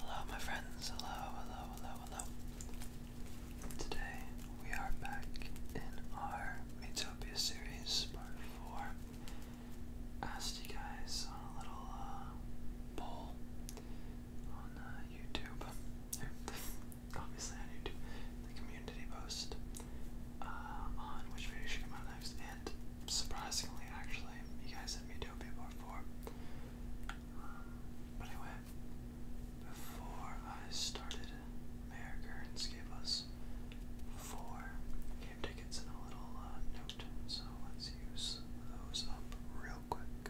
Hello, my friends. Hello, hello, hello, hello. Today we are back in our Metopia series, part four. I asked you guys a little uh, poll on uh, YouTube, obviously on YouTube, the community post uh, on which video should come out next, and surprisingly, actually, you guys sent me two people for. Um, but anyway, before I started, Mayor Gerns gave us four game tickets and a little uh, note, so let's use those up real quick.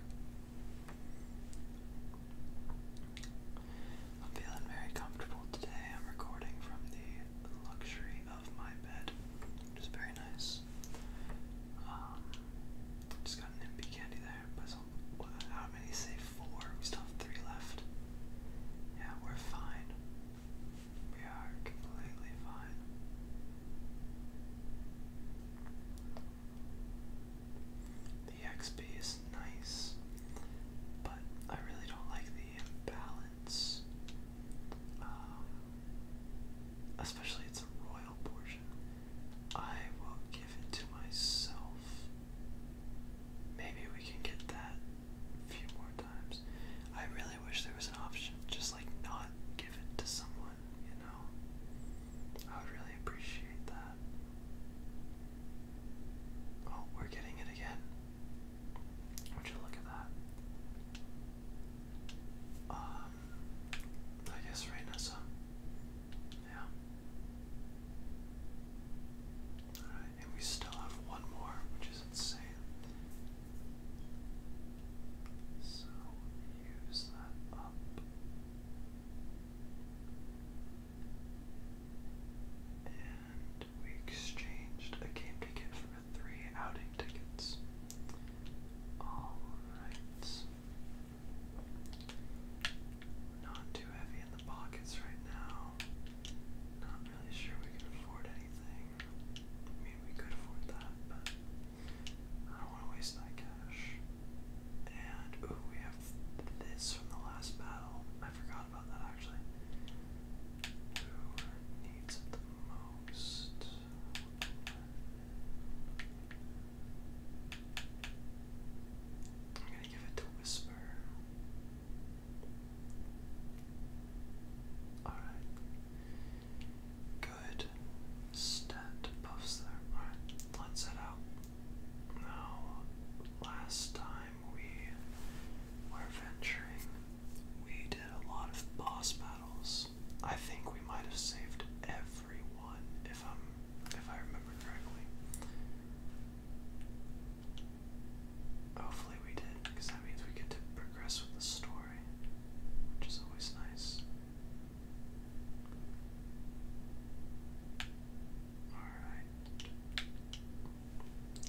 I'm feeling very comfortable today. I'm recording from the luxury of my bed, which is very nice. Um, just got an MP candy there, how many say four? We still have three left. Yeah, we're fine. We are completely fine. The XP is nice, but I really don't like the imbalance. Um, especially it's a royal portion, I will give it to myself. Maybe we can get that a few more times. I really wish there was an option, just like not give it to someone, you know? I would really appreciate that. Oh, we're getting it again. Would you look at that? Um, I guess right, so yeah. Alright, and we still have one more, which is insane. So use that up. And we exchanged a game ticket for three outing tickets. Alright. Not too heavy in the pockets right now. Not really sure we can afford anything. I mean, we could afford that, but I don't want to waste that cash. And, ooh, we have this from the last battle. I forgot about that actually. Who needs it the most? I'm gonna give it to Whisper. Alright. Good stat buffs there. Alright, let's out. Now, last time we were venturing, we did a lot of boss battles. I think we might have saved everyone if I'm if I remember correctly. Hopefully we did, because that means we get to progress with the story, which is always nice. Alright.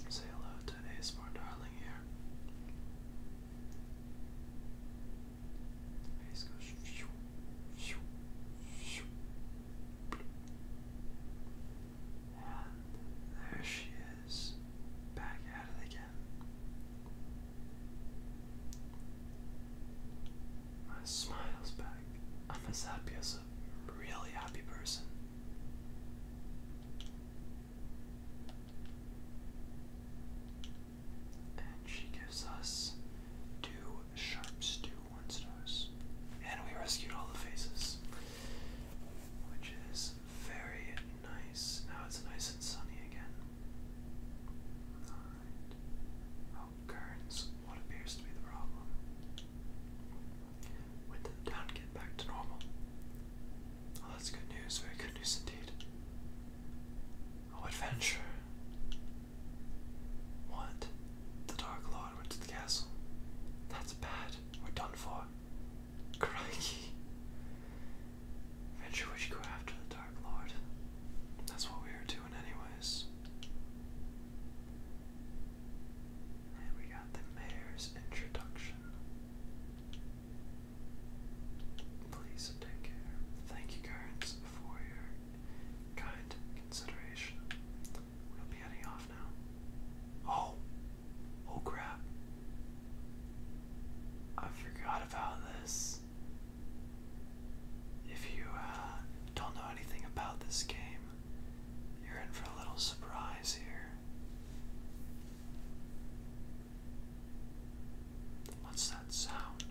Say hello to ASMR Darling here there she is, back at it again. My smile's back. I'm as happy as a really happy person. And she gives us two sharps, two one stars. And we rescued all the faces. Which is very nice. Now it's nice and sunny again. Alright. Oh, Kerns, what appears to be the problem? With the town get back to normal. Oh, that's good news, very good news indeed. Oh, adventure! What? The Dark Lord went to the castle. That's bad. We're done for. Crikey. Venture we should go after the Dark Lord. That's what we were doing, anyways. And we got the mayor's introduction. Please take care. Thank you, Guards, for your kind consideration. We'll be heading off now. Oh! Oh crap. I forgot about this. If you uh, don't know anything about this game, you're in for a little surprise here. What's that sound?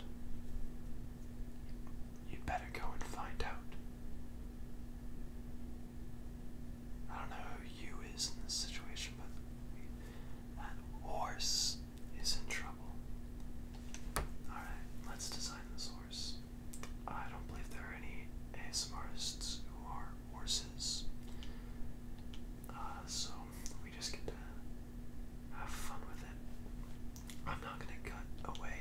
you better go and find out. I don't know who you is in this situation, but that horse is in trouble. Alright, let's design this horse. I don't believe there are any ASMRists who are horses. Uh, so just get to have fun with it. I'm not gonna cut away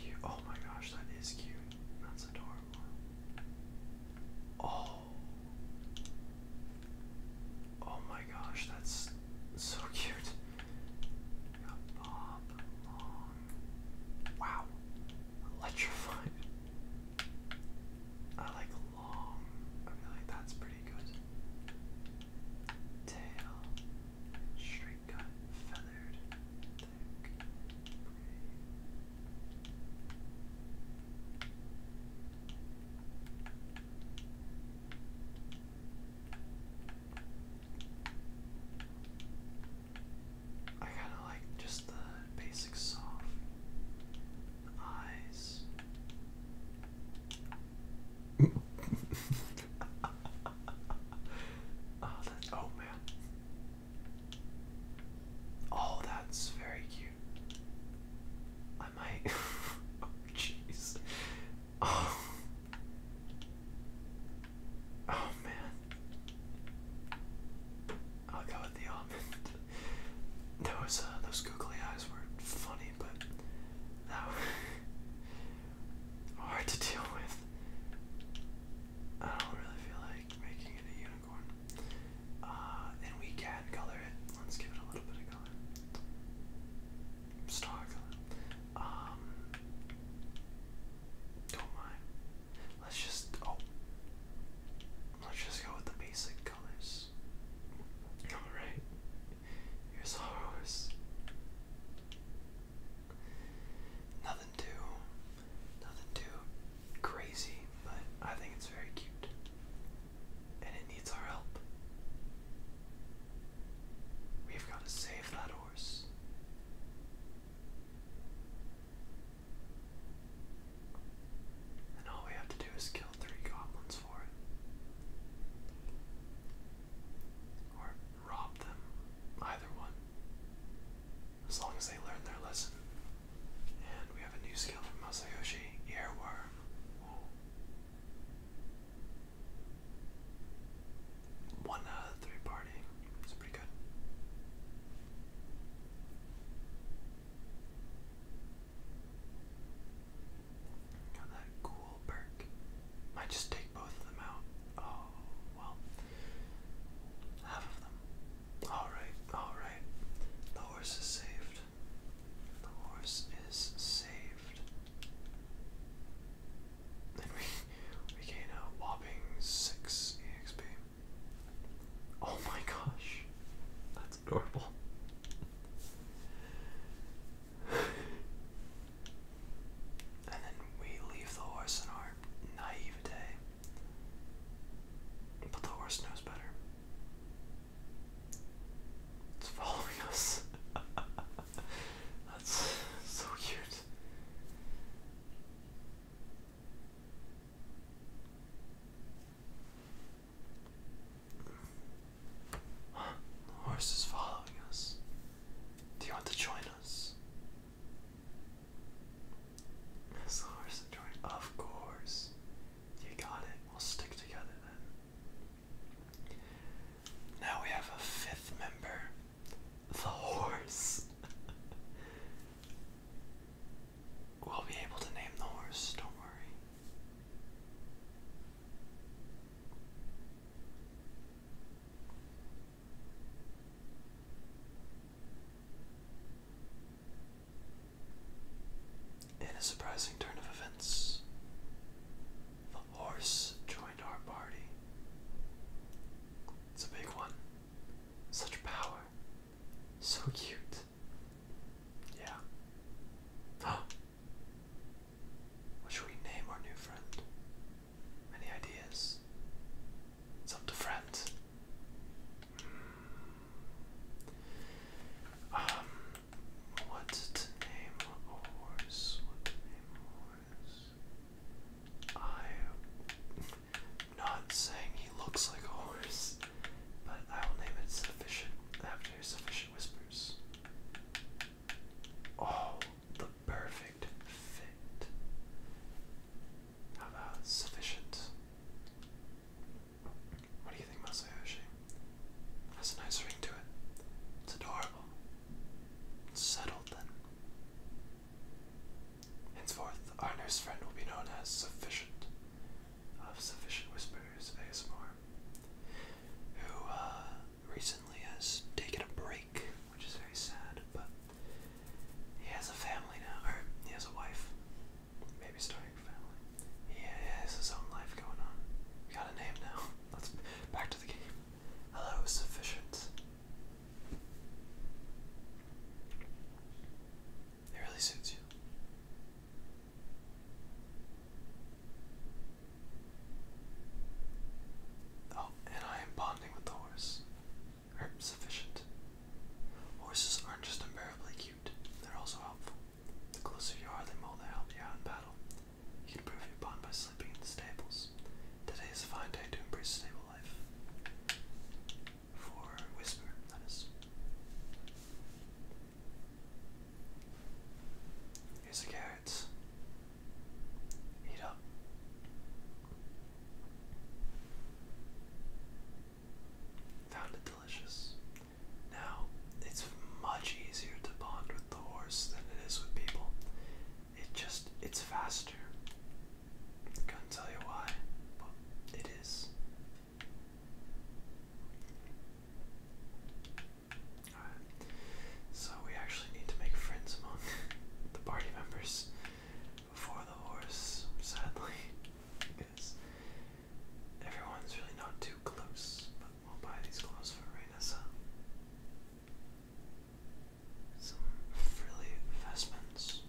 here. Oh my gosh, that is cute. That's adorable. Oh. Oh my gosh, that's so cute. Wow. Electrified. I like long. I feel like that's pretty good. Tail, straight cut, feathered, I kind of like just the basic soft Oh, oh, man. Oh, that's very cute. I might. Oh, jeez. Oh. oh, man. I'll go with the almond that uh, those googly eyes were funny, but that was hard to deal with. I don't really feel like making it a unicorn. Uh, and we can color it. Let's give it a little bit of color. Star color. Um, don't mind. Let's just. Oh, Let's just go with the basic colors. Alright, here's horse. Nothing too, nothing too crazy, but I think it's very cute. And it needs our help. We've got to save that horse. And all we have to do is kill three goblins for it. Or rob them. Either one. As long as they learn their lesson. And we have a new skill from Masayoshi Earworm. One of three party. It's pretty good. Got that cool perk. Might just take both of them out. Oh, well. Half of them. Alright, alright. The horse is saved. The horse is saved. And we, we gain a whopping 6 EXP. Oh my gosh, that's adorable. and then we leave the horse in our naivete. But the horse knows better. It's following us. That's so cute. The horse is following us. Do you want to join us? the horse join? Of course. You got it. We'll stick together then. Now we have a fifth member the horse. We'll be able to name the horse, don't worry. In a surprising turn of events, the horse joined our party. It's a big one. Such power. So cute. Yeah. Huh. What should we name our new friend? Any ideas? It's up to friends. Hmm. Um, what to name a horse? What name horse? I not saying he looks like a horse, but I will name it Sufficient after Sufficient Whispers. Oh, the perfect fit. How about Sufficient? What do you think Masayoshi? Has a nice ring to it. It's adorable. settled then. Henceforth, our nurse friend will be known as Sufficient of Sufficient Whispers ASMR, who uh, recently has taken a break, which is very sad, but he has a family now, or he has a wife, maybe starting a family. He has his own life going on. We got a name now. Let's back to the game. Hello, Sufficient. It really suits you. Oh, and I am bonding with the horse. Er, sufficient. Horses aren't just unbearably cute, they're also helpful. The closer you are, the more they help you out in battle. You can prove your bond by sleeping in the stables. Today is a fine day to embrace stable life for Whisper, that is. Here's the carrots. Eat up. Found it delicious. Now, it's much easier to bond with the horse than it is with people. It just, it's faster. Couldn't tell you why, but it is. So we actually need to make friends among the party members before the horse, sadly. Because everyone's really not too close, but we'll buy these clothes for Rainessa. Some frilly vestments.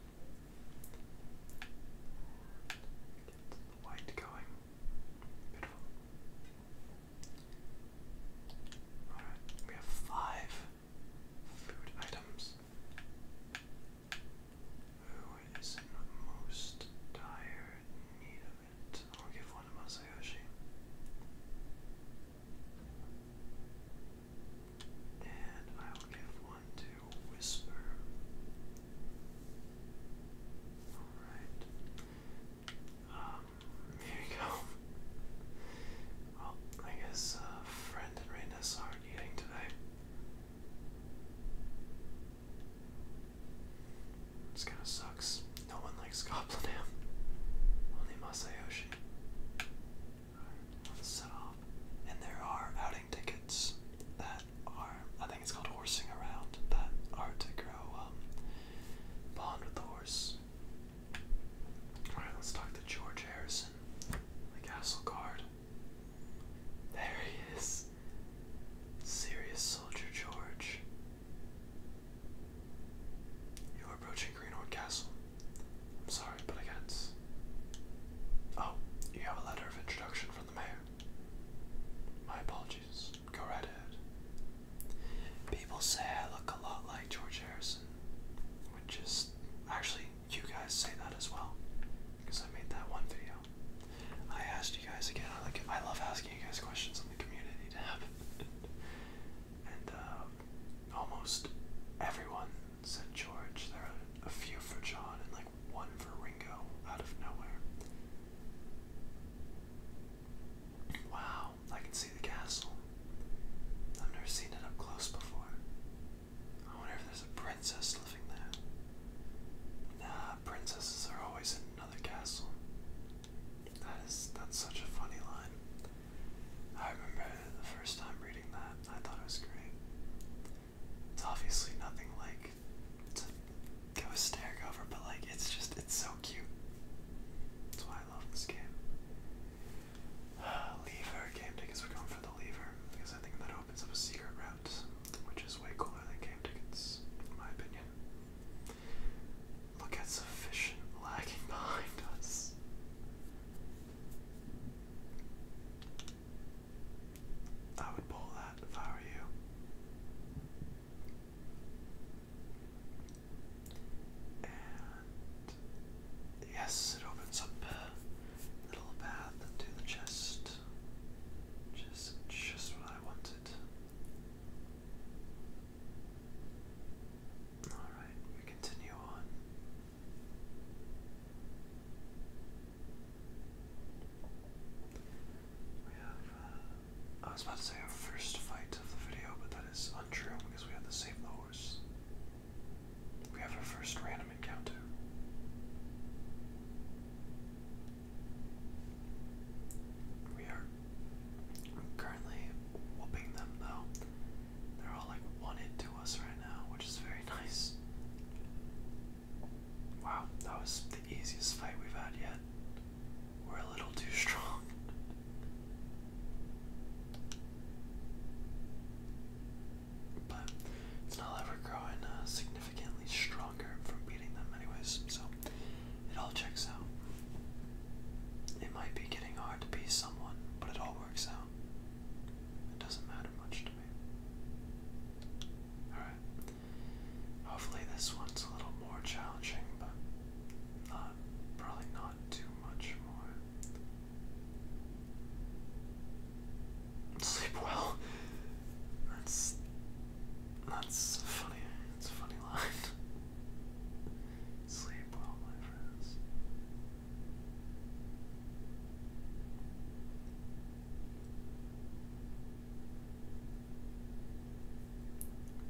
Get the white going. we have five food items. Who is most dire need of it? I'll give one to Masayoshi. And I will give to whisper. Alright. Um, here you go. Well, I guess uh, Friend and Rainus aren't eating today. This kind of sucks. No one likes Goblin Only Masayoshi. Alright, let's set off. And there are outing tickets that I think it's called horsing around that art to grow um, bond with the horse. All right, let's talk to George Harrison, the castle guard. There he is, serious soldier George. You're approaching Greenwood Castle. I'm sorry, but I can't. Oh, you have a letter of introduction from mayor. My apologies. Go right ahead. People say I look a lot like George Harrison, which is actually you guys say that as well, because I made that one video. I asked you guys again. I like I love asking you guys questions in the community tab, and uh, almost everyone said George. There are a few for John and like one for Ringo out of nowhere. Wow, I can see the castle. I've never seen it up close before. I wonder if there's a princess living there. Nah, princesses are always in another castle. That is, that's such a funny line. I remember the first time reading that, I thought it was great. It's obviously nothing like to go hysteric over, but like it's just it's so cute. That's why I love this game. lever game tickets. are going for the lever because I think that opens up a secret route, which is way cooler than game tickets, in my opinion. Look at sufficient lagging behind us. I would pull that if I were you. And yes, it opens up little path into the chest. Just just what I wanted. Alright, we continue on. Uh, I was about to say our first fight of the video, but that is untrue because we have the same horse. We have our first random encounter. We are currently whooping them though. They're all like wanted to us right now, which is very nice. Wow, that was the easiest fight we've had yet. We're a little too strong. but it's not like growing uh, significantly stronger from beating them, anyways, so it all checks out. It might be getting hard to be someone, but it all works out. It doesn't matter much to me. Alright. Hopefully this one's a little more challenging, but not probably not too much more. Sleep well. That's that's funny. It's a funny line. Sleep well, my friends.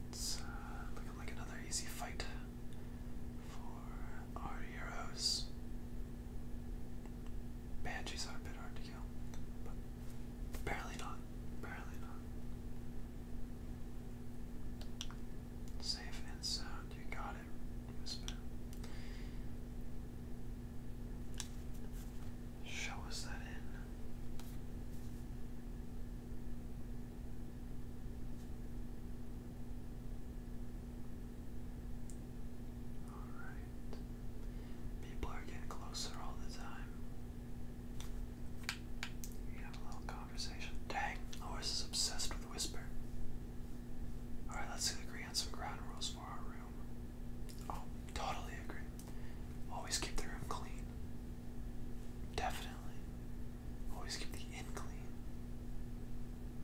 It's uh, looking like another easy fight for our heroes. Banshees are a bit hard to kill, but barely not. Barely not. Safe and sound, you got it misspell. Show us that in. Alright. People are getting closer all the time. We have a little conversation. Dang, Lois is obsessed with Whisper. Alright, let's agree on some ground rules for our room. Oh, totally agree. Always keep the room clean. Definitely. Always keep the inn clean.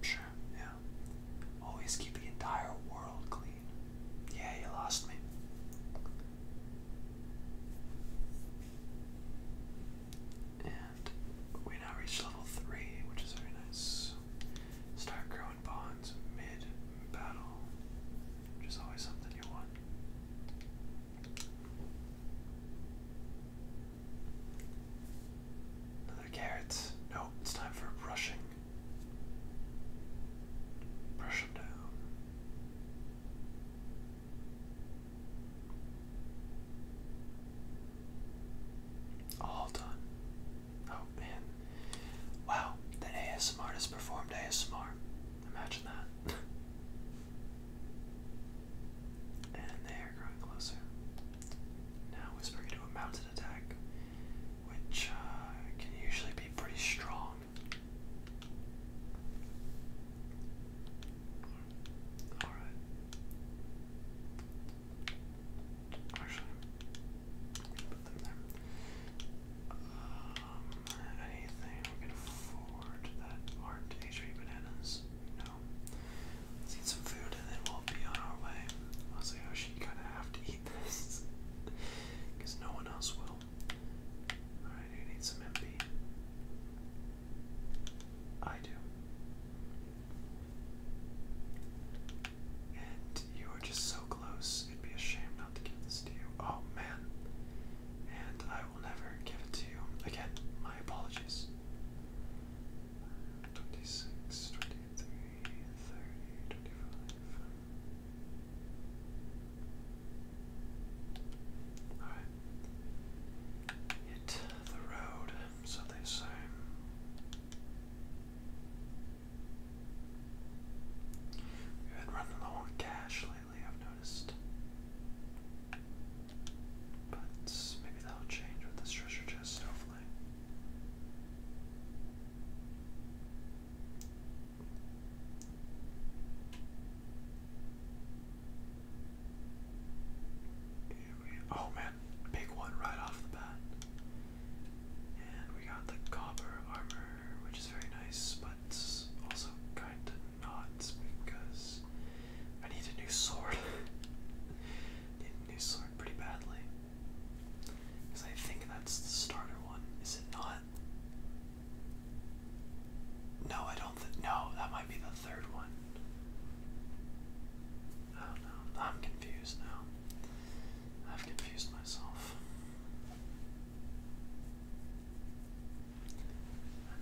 Sure, yeah. Always keep the entire world clean. Yeah, you lost me. And we now reach level 3, which is very nice. Start growing bonds mid battle, which is always something you want. Another carrot. Nope, it's time for brushing. Brush them down. All done. Oh man. Wow, the ASMR has performed ASMR. Imagine that. and they are growing closer. Now Whisper can do a mounted attack, which uh, can usually be pretty strong. Alright. Actually, put them there. Um, anything we can afford that aren't HB bananas? No. eat some food and then we'll be on our way. Honestly, I should kind of have to eat this because no one else will. Alright, you need some MP. I do. And you are just so close. It'd be a shame not to give this to you. Oh man. And I will never give it to you. Again, my apologies. 26, Alright. Hit the road, so We've been running low on cash lately, I've noticed. But maybe that'll change with this treasure chest, hopefully. oh man, big one right off the bat. And we got the copper armor, which is very nice, but also kinda not because I need a new sword. need a new sword pretty badly. Because I think that's the starter one, is it not? No, I don't think. No, that might be the third one. Oh no, I'm confused now. I've confused myself.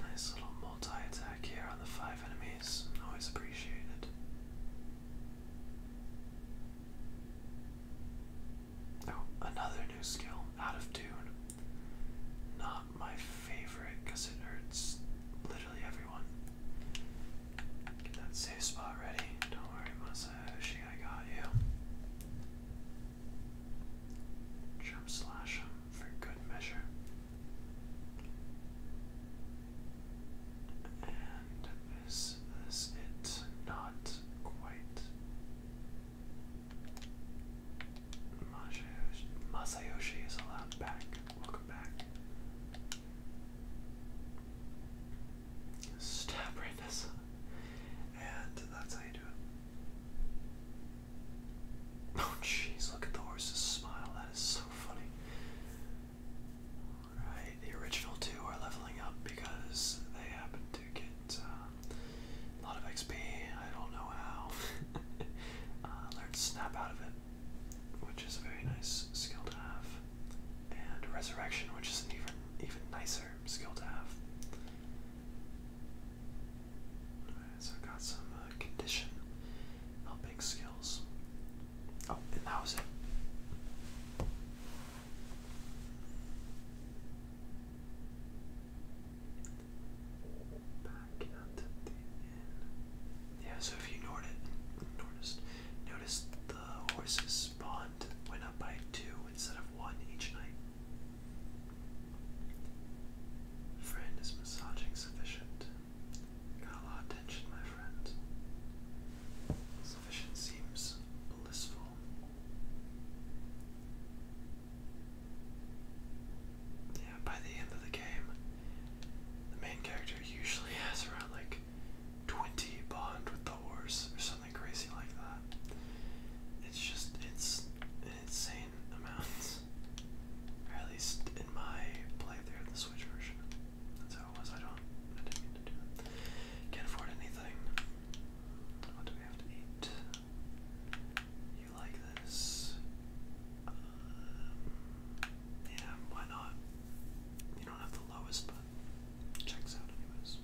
nice little multi attack here on the five enemies. Always appreciated. Oh, another new skill, out of tune. Not my favorite because it hurts literally everyone. Get that safe spot ready. Don't worry, Masayoshi. I got you. Jump slash him for good measure. And is it? Not quite. Masayoshi, Masayoshi is allowed back. Welcome back. Stab right this up. And that's how you do it. Oh jeez, look at the horse's smile. That is so funny. Alright, the original two are leveling up because they happen to get uh, a lot of XP. I don't know how. Uh, Learned Snap out of it, which is a very nice skill to have and Resurrection, which is an even even nicer skill to have. so I got some uh, condition helping skills. Oh, and that was it. Yeah, so if you noticed, noticed the horses spawned went up by two instead of one each night. Friend is massaging sufficient. Got a lot of attention, my friend. Sufficient seems blissful. Yeah, by the end of the game, the main character usually has around like 20 bond with the horse or something crazy like that. It's just, it's an insane amount. at least in my playthrough of the Switch version. That's how it was. I don't, I didn't mean to do that. Can't afford anything. What do we have to eat? You like this? Um, yeah, why not? You don't have the lowest, but but checks out anyways.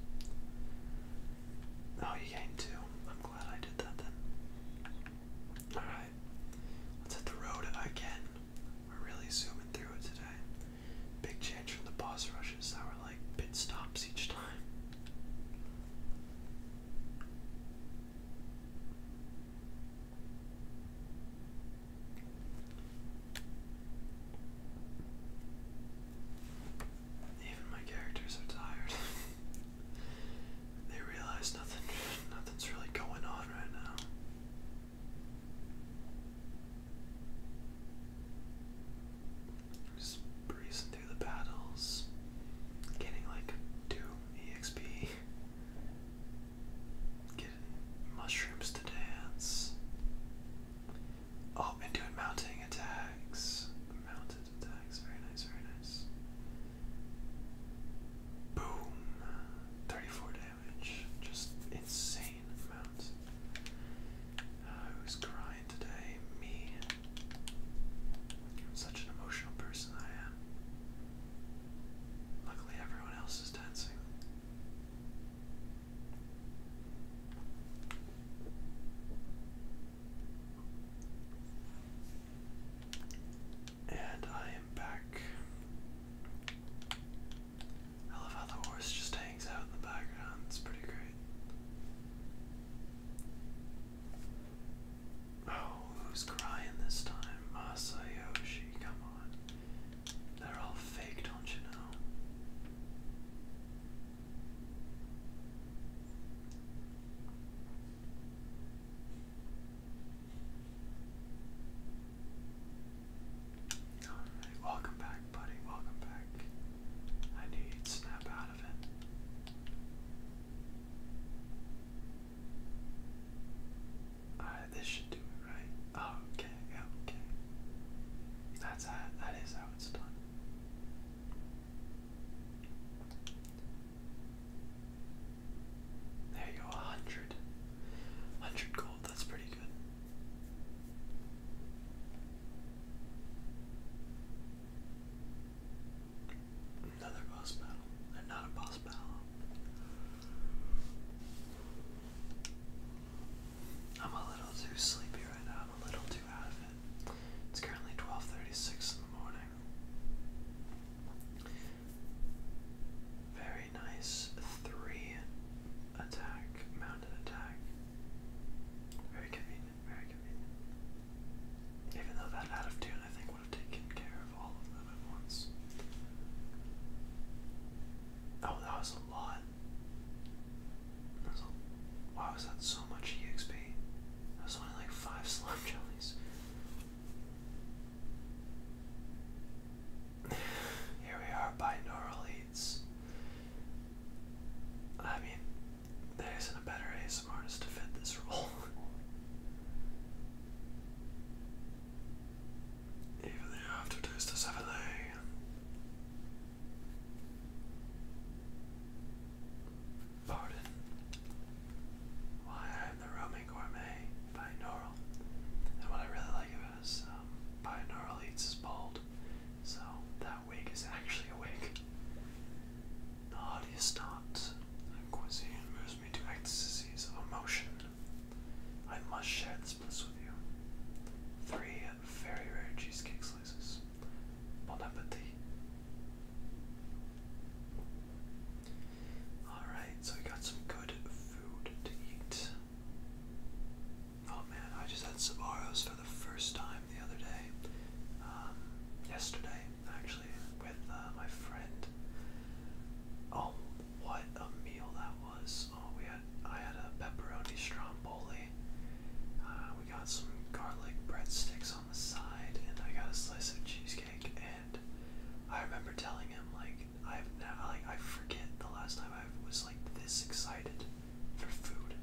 Oh, you came too. I'm glad I did that then. Alright, let's hit the road again. We're really zooming through it today. Big change from the boss rushes that were like pit stops each time. Even my characters are tired. they realize nothing nothing's really going on right now. Just breezing through the battles, getting like two EXP. Getting mushrooms to dance. Oh, and doing mounting attacks. Mounted attacks. Very nice, very nice. Boom. 34 damage. Just insane amount. Uh, who's crying today? Me. such an emotional person I am. Luckily, everyone else is dancing. And I am back. I love how the horse just hangs out in the background. It's pretty great. Oh, who's crying this time? Masayoshi, come on. They're all fake, don't you know? Alright, welcome back, buddy. Welcome back. I knew snap out of it. Alright, this should do it, right? Oh, okay, yeah, okay. That's how, that is how it's done. There you go, 100. 100 gold, that's pretty good. Another boss battle. they boss battle. I'm a little too sleepy right now. I'm a little too out of it. It's currently 12:36 in the morning. Very nice three attack, mounted attack. Very convenient, very convenient. Even though that out of tune I think would have taken care of all of them at once. Oh, that was a lot. That's a, that so much EXP? That was only like five slime jellies. Here we are, binaural eats. I mean, there isn't a better ASMR to fit this role. Even the aftertaste is heavenly. Pardon. Why I'm the Roman gourmet binaural. And what I really like about is um, eats is bald. So that wig is actually a wig. The haughtiest not. Cuisine moves me to ecstasies of emotion. I must shed with you. Three very rare cheesecake slices. Bon appetit. Alright, so we got some good food to eat. Oh man, I just had Sabaros for the first time the other day. Um, yesterday, actually, with uh, my friend. Oh what a meal that was! Oh, we had I had a pepperoni stromboli. Uh, we got some garlic breadsticks on the side, and I got a slice of cheesecake. And I remember telling him like I've like I forget the last time I was like this excited for food,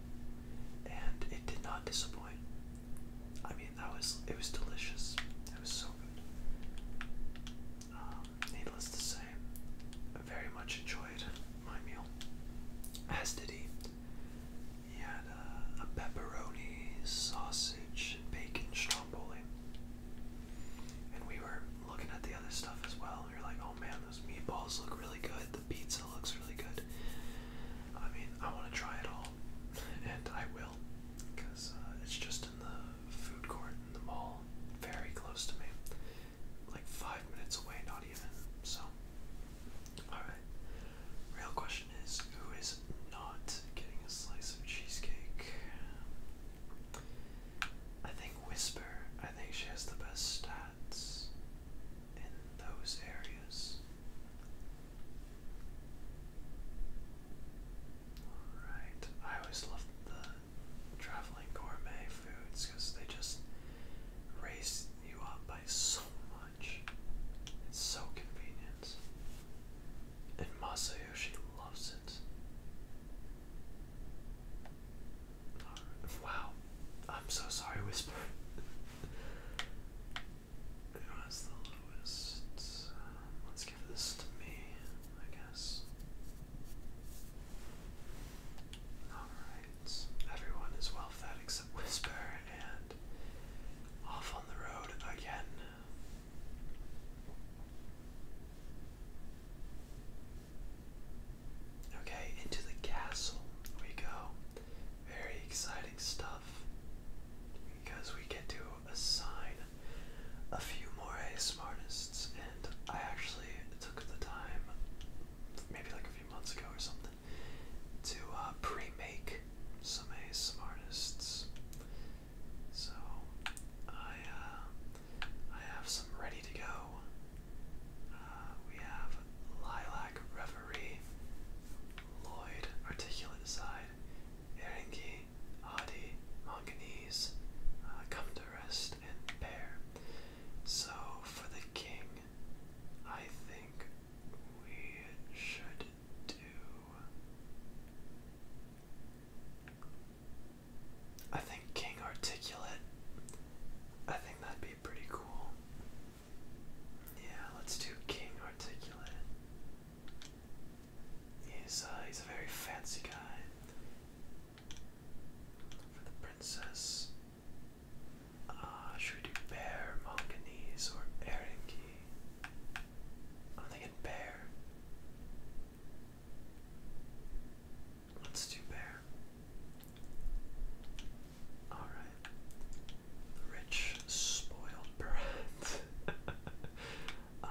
and it did not disappoint. I mean, that was it was delicious. It was so good. Um, needless to say, I very much enjoyed my meal, as did he. He had a, pepperoni, sausage, bacon stromboli. And we were looking at the other stuff as well. We were like, oh man, those meatballs look really good. The pizza looks really good. I mean, I want to try it all, and I will, because uh, it's just in the food court in the mall, very close to me, like five minutes away, not even. So, all right. Real question is, who is not getting a slice of cheesecake? I think Whisper. I think she has the best stats in those areas. Alright, I always love the traveling gourmet foods because they just raise you up by so much. It's so convenient. And Masayoshi loves it. Uh, wow. I'm so sorry, Whisper. Who has the lowest? Um, let's give this to me, I guess. Alright, everyone is well fed except Whisper, and off on the road again. Okay, into the castle we go. Very exciting stuff because we get to assign a few more smartists, and I actually took the time, maybe like a few months ago or something, to uh, pre-make some smartists. So I uh, I have some ready to go. Uh, we have Lilac Reverie, Lloyd Articulate Side, Eringi, Adi, Manganese, uh, Come to Rest, and pear. So for the king, I think we should do. I think King Articulate. I think that'd be pretty cool. Yeah, let's do King Articulate. He's uh, he's a very fancy guy. For the princess, uh, should we do bear, manganese, or erinki? I'm thinking bear. Let's do bear. Alright. rich, spoiled brat. um,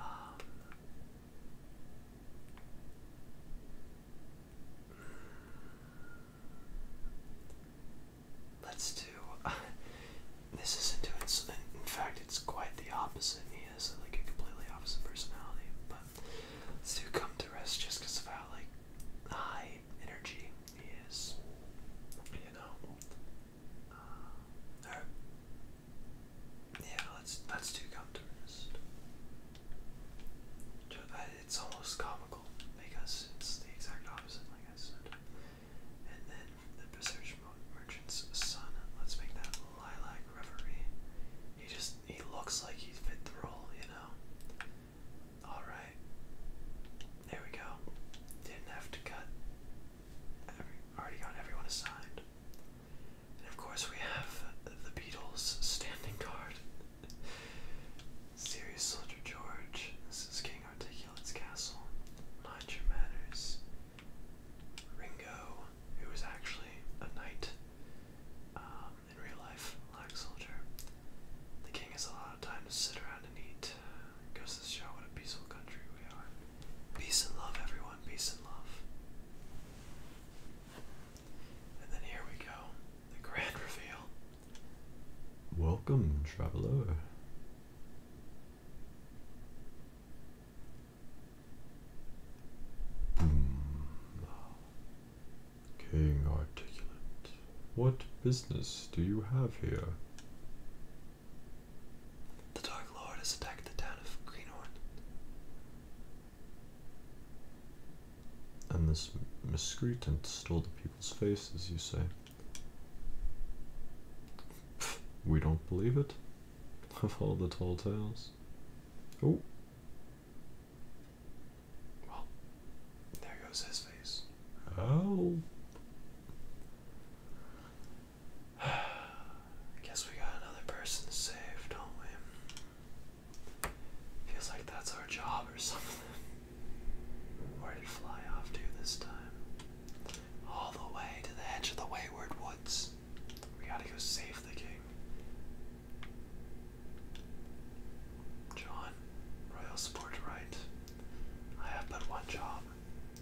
Let's do. this isn't doing. So, in fact, it's quite the opposite. He has like a completely opposite personality. But let's do come to rest just because of how like high energy he is. You know. Uh, yeah, let's let's It's almost comical because it's the exact opposite, like I said. And then the Research Merchant's son. Let's make that Lilac Reverie. He just he looks like he fit the role, you know. All right, there we go. Didn't have to cut. already got everyone assigned. And of course, we have the Beatles standing guard. Serious Soldier George, this is King Articulate's Castle, Mind Your Manners, Ringo, who was actually a knight um, in real life, Black Soldier. The king has a lot of time to sit around and eat. It goes to show what a peaceful country we are. Peace and love, everyone, peace and love. And then here we go, the grand reveal. Welcome, traveler. Boom. Hmm. King Articulate, what business do you have here? The Dark Lord has attacked the town of Greenhorn. And this miscreant stole the people's faces, you say? we don't believe it. Of all the tall tales. Oh. Well, there goes his face. Oh. I guess we got another person to save, don't we? Feels like that's our job or something. Where did fly off to this time? All the way to the edge of the Wayward Woods. We gotta go save the king. John, royal support right. I have but one job.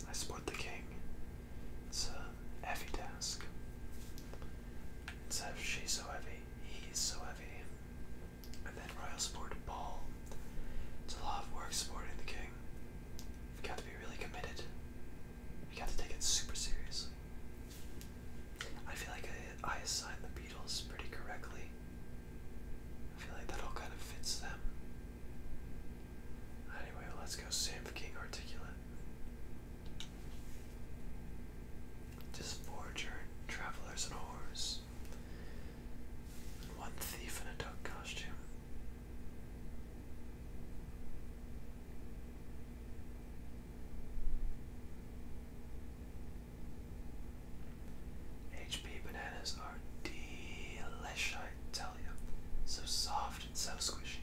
I support the king. It's a heavy task. It she's so heavy, he's so heavy. And then Royal Sport Ball. It's a lot of work supporting the king. You've got to be really committed. You got to take it super seriously. I feel like I, I assigned the Beatles pretty correctly. I feel like that all kind of fits them. Anyway, let's go Sam King Articulate. Just forger, travelers, and whores, and one thief in a duck costume. HP bananas are delicious, I tell you. So soft and so squishy.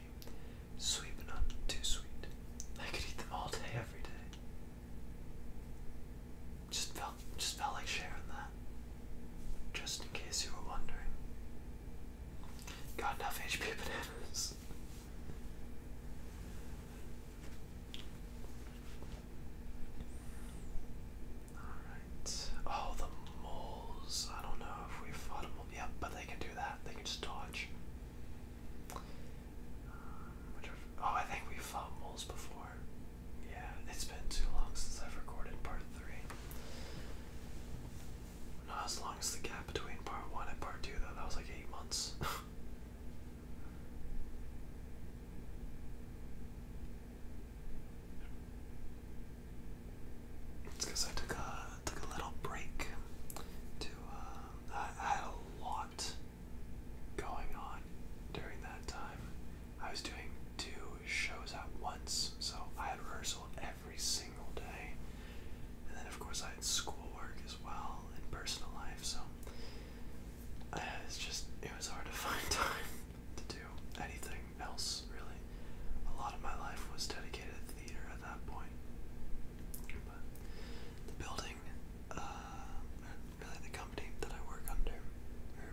Sweet but not too sweet. I could eat them all day, every day. Just felt just felt like sharing that. Just in case you were wondering. Got enough HP bananas. Alright. Oh, the moles. I don't know if we fought a Yep, but they can do that. They can just dodge oh, I think we've found moles before. Yeah, it's been too long since I've recorded part three. Not as long as the gap between part one and part two, though. That was like eight months. It's because I took a took a little break. To uh, I, had a lot going on during that time. I was doing two shows at once, so I had rehearsal every single day, and then of course I had schoolwork as well and personal life. So uh, it's just it was hard to find time to do anything else really. A lot of my life was dedicated to theater at that point the building, uh, really the company that I work under, or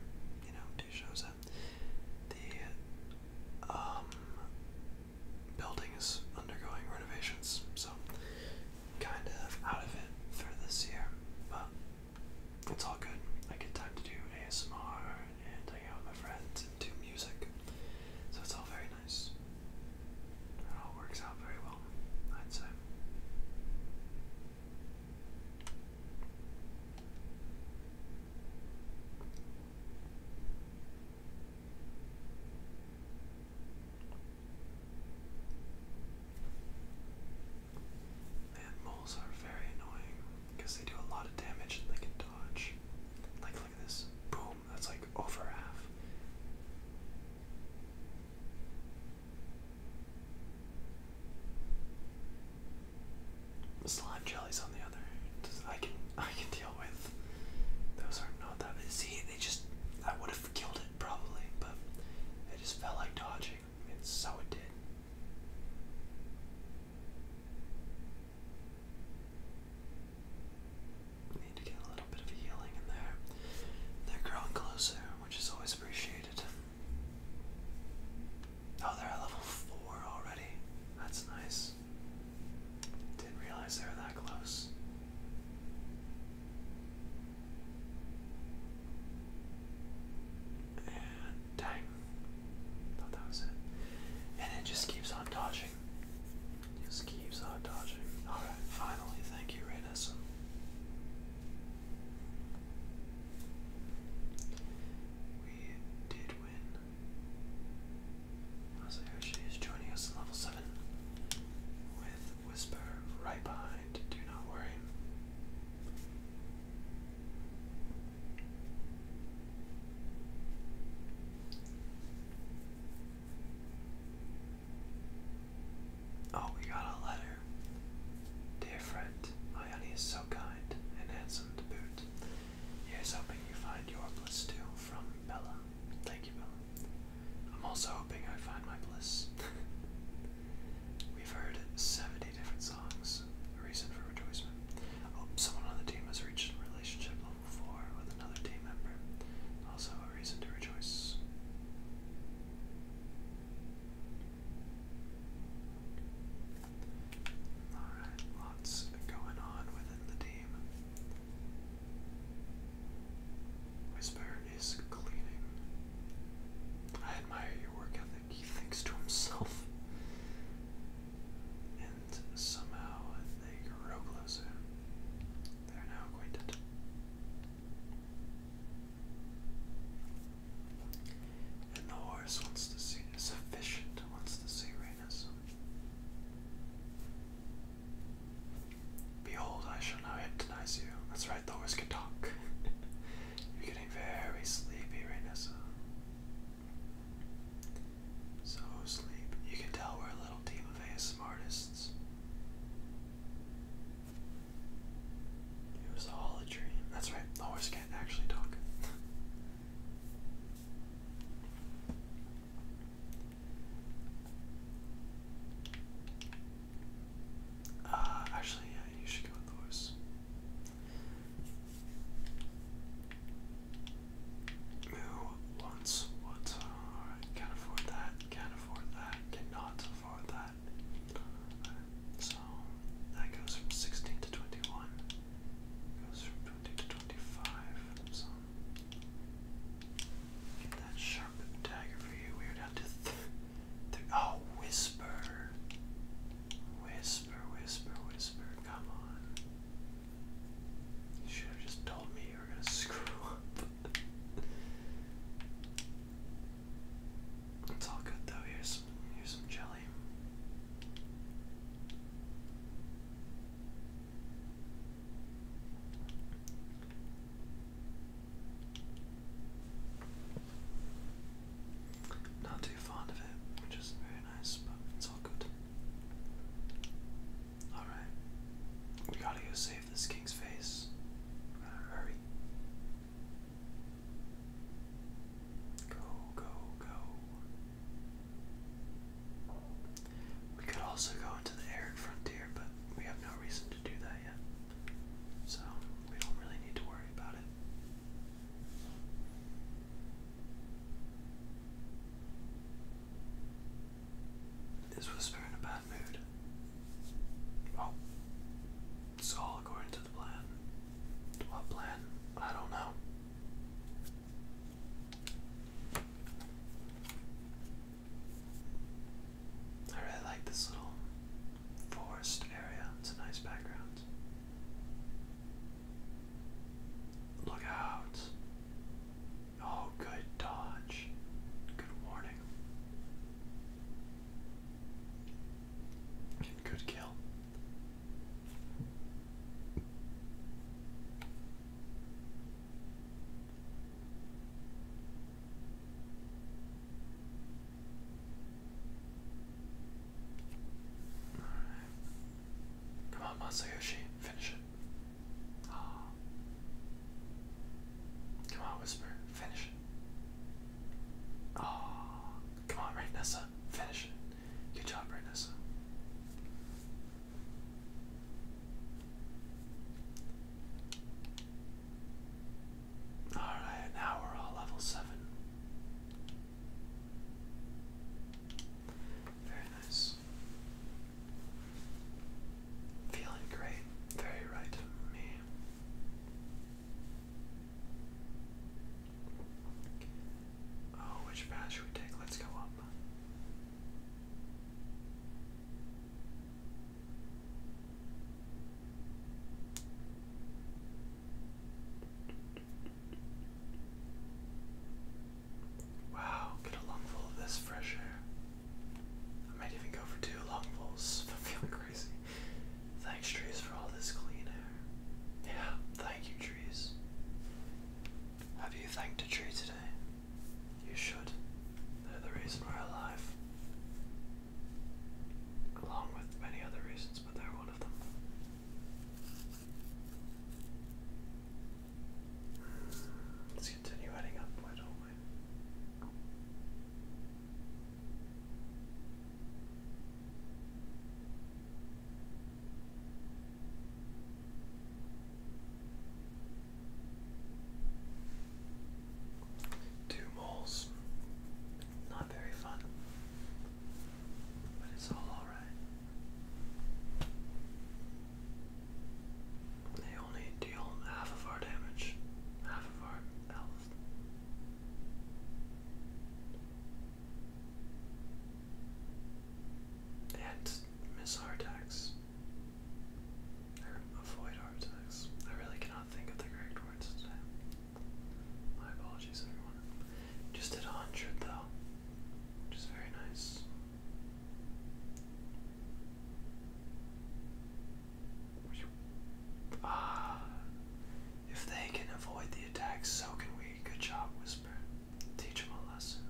you know, do shows at, the um, building is undergoing renovations, so kind of out of it for this year, but it's all good. I get time to do ASMR and hang out with my friends and do music, so it's all very nice. It all works out very well, I'd say. Man, moles are very annoying because they do a lot of damage and they can dodge. Like, like this. Boom. That's like over half. Slime jellies on the other. I can I can deal with. Those are not that bad. they just I would have killed it probably, but it just felt like dodging, and so it did need to get a little bit of healing in there. They're growing closer, which is always appreciated. Oh, they're at level 4 already. That's nice. Didn't realize they were that close. And dang. Thought that was it. And it just keeps on dodging. Just keeps on dodging. Alright, finally, thank you, Reyneson. We did win. Masayoshi is joining us at level 7 with Whisper right behind. Do not worry. Oh, we got a letter. Dear friend, my honey is so kind and handsome to boot. Here's hoping you find your bliss too from Bella. Thank you, Bella. I'm also hoping I find my bliss. We've heard 70 different songs. reason for rejoicement. Oh, someone on the team has reached relationship level 4 with another team member. Also, a reason to rejoice. Alright, lots going on within the team. Whisper is cleaning. I admire your work ethic, he thinks to himself. and somehow they grow closer. They're now acquainted. And the horse wants to see sufficient wants to see Rhaenys. Behold, I shall now hypnotize you. That's right, the horse can talk. You're getting very sleepy, Rhaenys. So sleep. You can tell we're a little team of ASM artists. It was all a dream. That's right, the horse can't actually talk. Uh, actually, yeah, you should go with the horse. Who wants what? Uh, can't afford that, can't afford that, cannot afford that. So that goes from 16 to 21. Goes from 20 to 25. So get that sharp dagger for you. We're down to th oh whisper. Whisper, whisper, whisper. Come on. You should have just told me you were gonna screw up. it's all good though. Here's here's some jelly. Not too fond of it, which isn't very nice, but it's all good. Alright. We gotta go save this king's face. hurry. Go, go, go. We could also go into the arid frontier, but we have no reason to do that yet. So we don't really need to worry about it. This Whisper in a bad mood? Oh, it's all according to the plan. What plan? I don't know. I really like this little forest area. It's a nice background. Look out. Oh, good dodge. Good warning. Good kill. Come on, Masayoshi, finish it. Ah. Come on, Whisper. Finish it. Oh. Come on, right, Finish Good job, right, Alright, now we're all level 7. Very nice. Feeling great, very right me. Oh, which path should we take? Let's go up. Wow, get a lungful of this fresh air. I might even go for two lungfuls. I'm feeling crazy. Thanks, trees, for all this clean air. Yeah, thank you, trees. Have you thanked a tree today? You should. They're the reason we're alive. Along with many other reasons, but they're one of them. Let's continue heading up, all the way. Two moles. Not very fun, but it's all alright. They only deal half of our damage, half of our health. And miss our attacks. Or avoid our attacks. I really cannot think of the correct words today. My apologies, everyone. Just did a hundred though, which is very nice. Ah, if they can avoid the attacks, so can we. Good job, Whisper. Teach them a lesson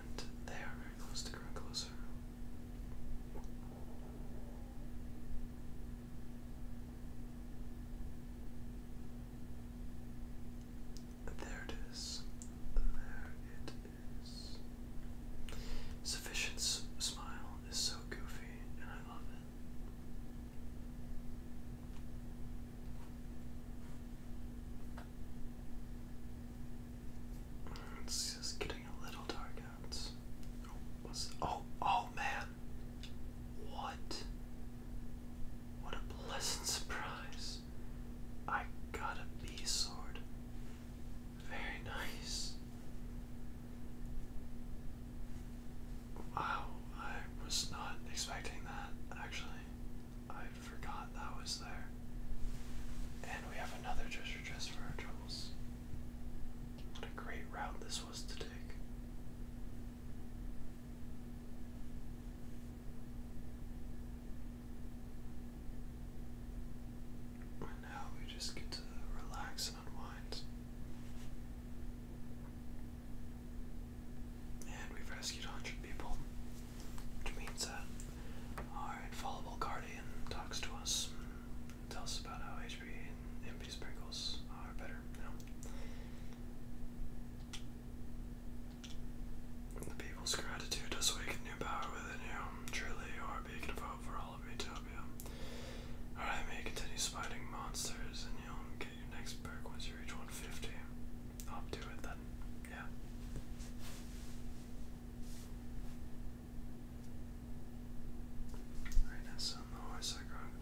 and they are very close to growing closer. There it is. There it is. Sufficient's smile is so goofy, and I love it. It's just getting a little dark out. Oh, what's, oh, oh man! What? What a pleasant surprise! I got a bee sword. Very nice. Wow, I was not expecting that actually. I forgot that was there. And we have another treasure chest for our what a great route this was to take. And now we just get to relax and unwind. And we've rescued 100 people, which means that our infallible guardian talks to us tells us about how HP and MP sprinkles are better now. The people's gratitude does new power within you. Truly, you are a beacon for all of Utopia. Our enemy continues fighting monsters, and you'll get your next perk once you reach 150. I'll do it then. Yeah. Rhinos and the horse are growing.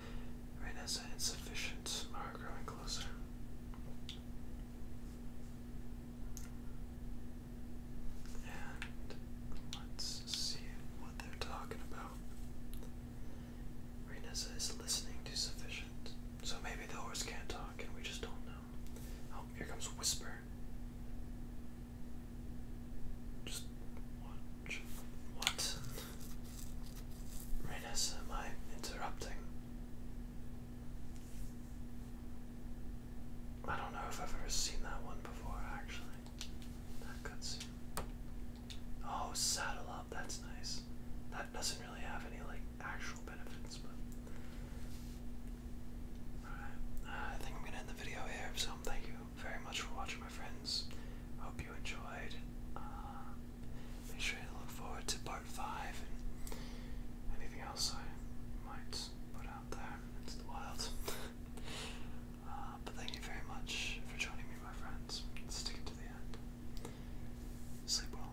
Rhinos and insufficient are growing closer. And let's see what they're talking about. Rhinos is listening to sufficient. So maybe the horse can't talk and we just don't know. Oh, here comes Whisper. Just watch. What? Reynes, am I interrupting? I don't know if I've ever seen that one before, actually. That cutscene. Oh, saddle up, that's nice. That doesn't really have any, like, actual benefits, but Alright, uh, I think I'm going to end the video here, so thank you very much for watching, my friends. Hope you enjoyed. Uh, make sure you look forward to part 5 and anything else I might put out there into the wild. Uh, but thank you very much for joining me, my friends. Stick it to the end. Sleep well.